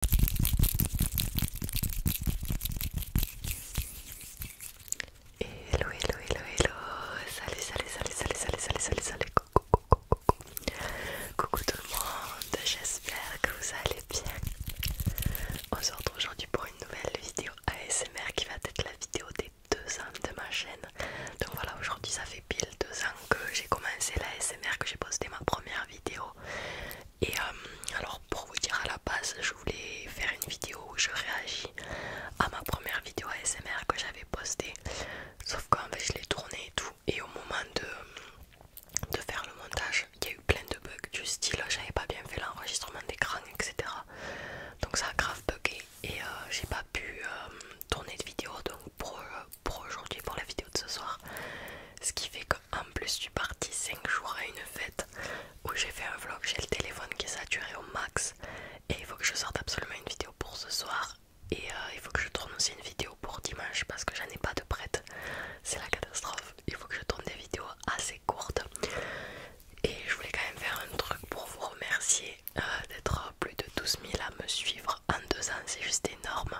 Hello, hello, hello, hello. Salut, salut, salut, salut, salut, salut, salut, salut. Coucou, coucou, coucou. tout le monde. J'espère que vous allez bien. On se retrouve aujourd'hui pour une nouvelle vidéo ASMR qui va être la vidéo des deux ans de ma chaîne. Donc voilà, aujourd'hui ça fait pile deux ans que j'ai commencé la l'ASMR, que j'ai posté ma première vidéo. Et euh, alors pour vous dire à la base, je voulais faire une vidéo où je réagis à ma première vidéo ASMR que j'avais postée. Sauf qu'en fait je l'ai tournée et tout. Et au moment de, de faire le montage, il y a eu plein de bugs du style j'avais pas bien fait l'enregistrement d'écran, etc. Donc ça a grave bugué et euh, j'ai pas pu euh, tourner de vidéo. Donc pour, pour aujourd'hui, pour la vidéo de ce soir. Ce qui fait qu'en plus, je suis partie 5 jours à une fête où j'ai fait un vlog. J'ai le téléphone qui est saturé au max et il faut que je sorte absolument une vidéo pour ce soir. Et euh, il faut que je tourne aussi une vidéo pour dimanche parce que j'en ai pas de prête. C'est la catastrophe. Il faut que je tourne des vidéos assez courtes. Et je voulais quand même faire un truc pour vous remercier euh, d'être plus de 12 000 à me suivre en deux ans. C'est juste énorme.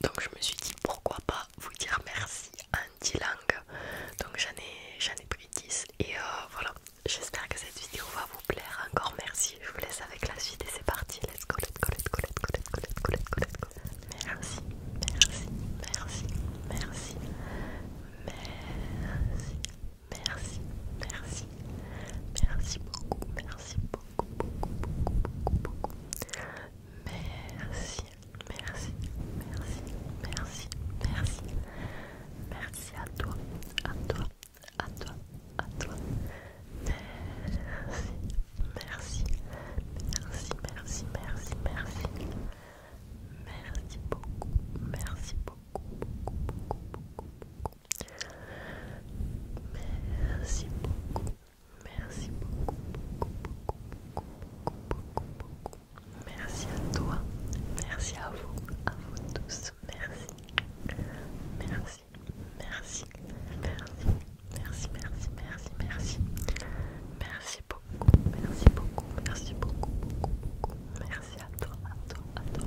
Donc je me suis dit pourquoi pas vous dire merci en 10 langues. Donc j'en ai, ai pris 10 et euh, voilà, j'espère que cette vidéo va vous plaire. Encore merci, je vous laisse avec la suite et c'est parti. Let's go, let's go, let's go, let's go, let's go, let's go, Merci, merci, merci, merci, merci, merci, merci, merci beaucoup, merci beaucoup, beaucoup, beaucoup, beaucoup, beaucoup. Merci, merci, merci, merci, merci. Merci à toi, à toi, à toi, à toi. Merci, merci, merci, merci, merci, merci. Merci beaucoup, merci beaucoup, beaucoup, beaucoup, beaucoup, beaucoup. Merci beaucoup, Merci beaucoup, beaucoup, Merci à toi, merci à vous, à vous tous. Merci, merci, merci, merci, merci, merci, merci, merci. Merci beaucoup, merci beaucoup, merci beaucoup, beaucoup. Merci à toi, à toi, à toi.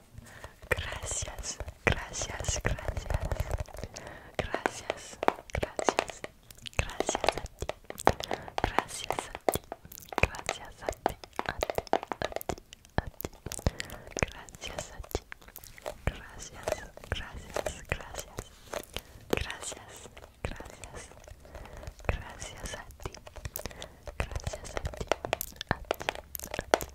Gracias, gracias, gracias. Gracias, gracias. Gracias a ti. Gracias a ti. Gracias a ti. A ti, a ti, Gracias a ti. Gracias, gracias, gracias. Gracias, gracias. Gracias a ti. Gracias A ti, a ti,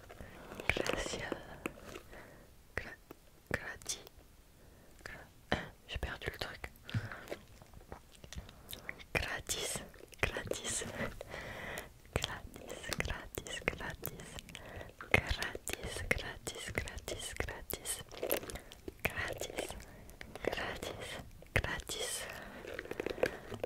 Gratis Gratis gratis. J'ai perdu le truc. Gratis. Gratis. Gratis, gratis, gratis. Gratis, gratis, gratis, gratis. Gratis. Gratis. Gratis.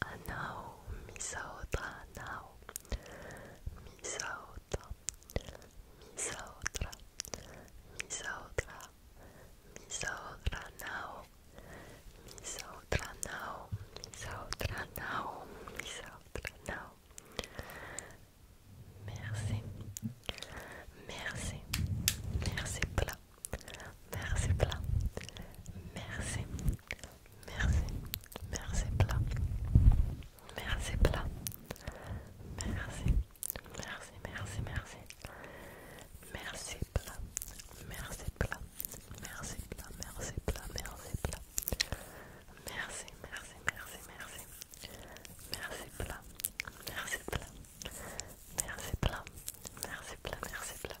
Anao, Misaotra, Anao, Misaotra, Misaotra, Misaotra, Misaotra, Anao, Misaotra, Anao, Misaotra, nao Misaotra, Anao. Merci, merci, merci plein, merci plein, merci. Merci, merci plat. Merci plat. Merci, merci, merci, merci. Merci plat. Merci plat. Merci plat. Merci plat. Merci plat. Merci, merci, merci, merci. Merci plat. Merci plat. Merci plat. Merci plat. Merci plat.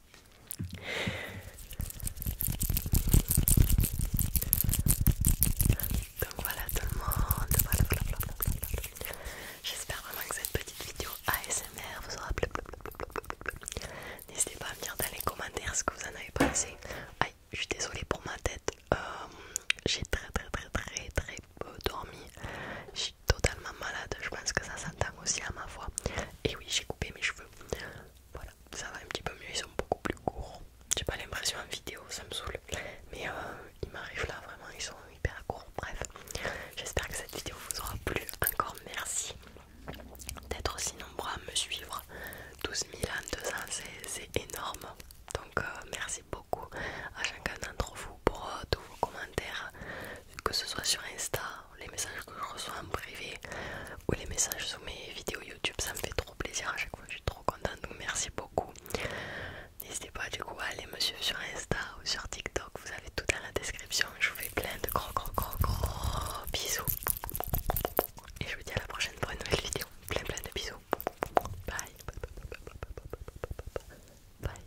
donc voilà tout le monde, J'espère vraiment que cette petite vidéo ASMR vous aura plu. N'hésitez pas à me dire dans les commentaires ce que vous en avez pensé. Aïe, je suis désolée pour ma tête. Euh, j'ai très très très très très peu dormi totalement malade, je pense que ça s'entend aussi à ma voix. Et oui, j'ai coupé mes cheveux. Voilà, ça va un petit peu mieux, ils sont beaucoup plus courts. J'ai pas l'impression en vidéo, ça me saoule. Mais euh, ils il m'arrive là, vraiment, ils sont hyper courts. Bref, j'espère que cette vidéo vous aura plu. Encore merci d'être aussi nombreux à me suivre. 12 000 en 200, c'est énorme. Donc euh, merci beaucoup à chacun d'entre vous pour euh, tous vos commentaires que ce soit sur Insta, les messages que je reçois en privé ou les messages sous mes vidéos YouTube, ça me fait trop plaisir à chaque fois, je suis trop contente, donc merci beaucoup. N'hésitez pas du coup à aller me suivre sur Insta ou sur TikTok, vous avez tout dans la description. Je vous fais plein de gros gros gros gros bisous. Et je vous dis à la prochaine pour une nouvelle vidéo. Plein plein de bisous. Bye. Bye.